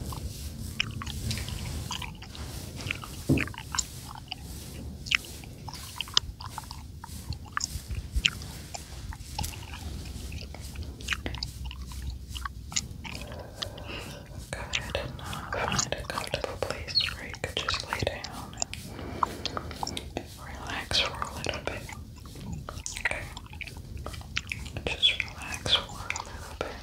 Go ahead and uh, a place where you could just lay down relax for a little bit. Okay. Just relax for a little bit.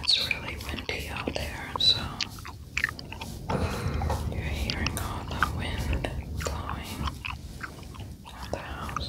It's really windy out there, so you're hearing all the wind blowing on the house.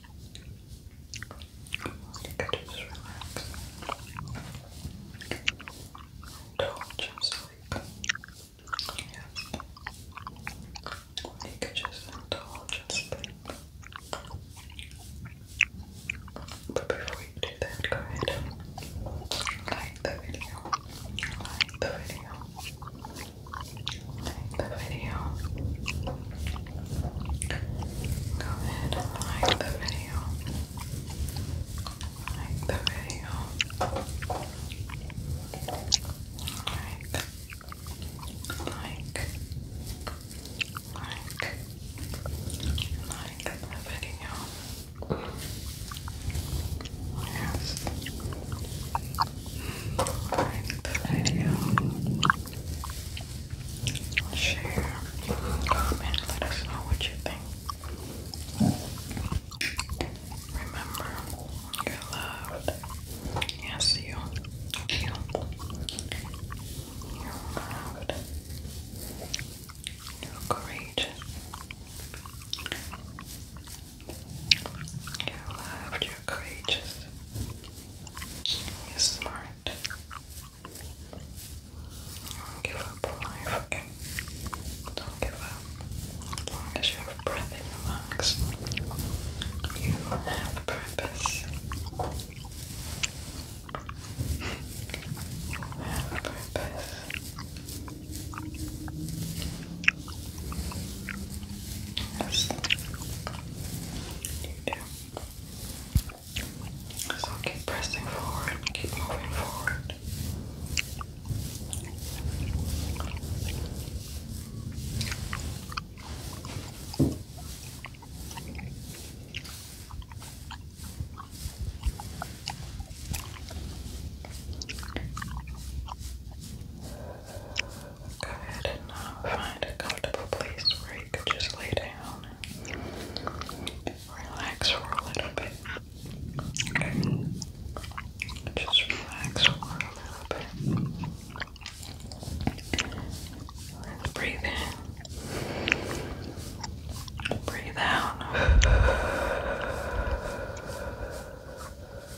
You could just relax. Don't just like, yes. You could just indulge and sleep. But before you do that, go ahead like the video. Like the video. Like the video. Go ahead and like the video. Like the video. Like. Like. Like. Like the video. Yes. Like the video. Like the video share, comment, let us know what you think. Remember, you're loved. Yes, you. You. are loved. You're courageous. You're loved you courageous. You're smart. Don't give up on life, Don't give up. As long as you have breath in your lungs, you have purpose. purpose. Yes, you do. So keep pressing forward, keep moving forward go ahead and uh, find a comfortable place where you could just lay down and relax for a little bit. Okay. Just relax for a little bit. breathe in. Breathe out.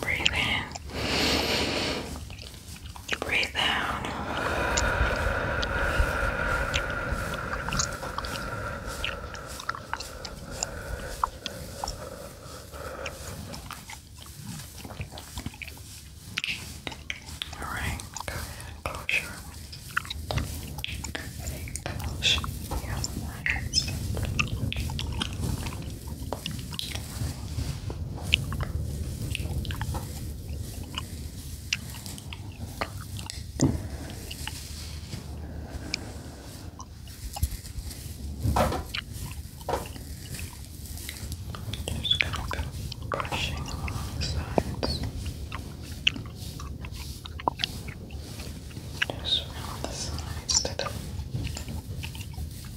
Breathe in. Breathe out. All right, go ahead Close your eyes. Just gonna go brushing along the sides. Just around the sides today.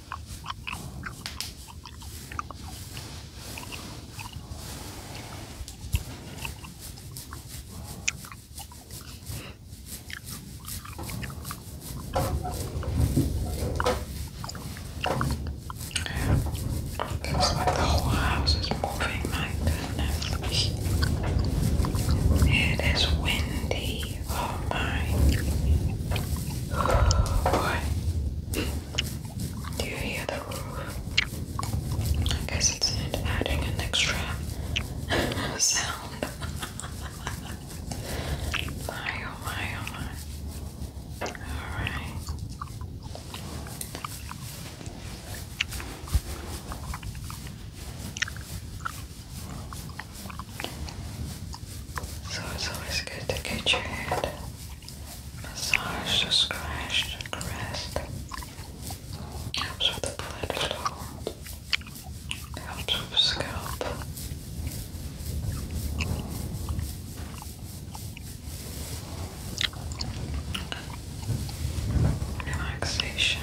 It feels like the whole house is moving, my goodness. It is windy. Oh my. What? Do you hear the roof? I guess it's adding an extra sound. my oh my oh my. Alright. So it's always good to get your head massaged or scratched or caressed. Helps with blood flow. Helps with scalp. Relaxation.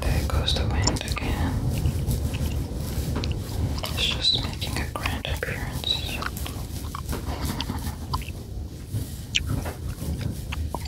There goes the wind again. It's just making a grand appearance.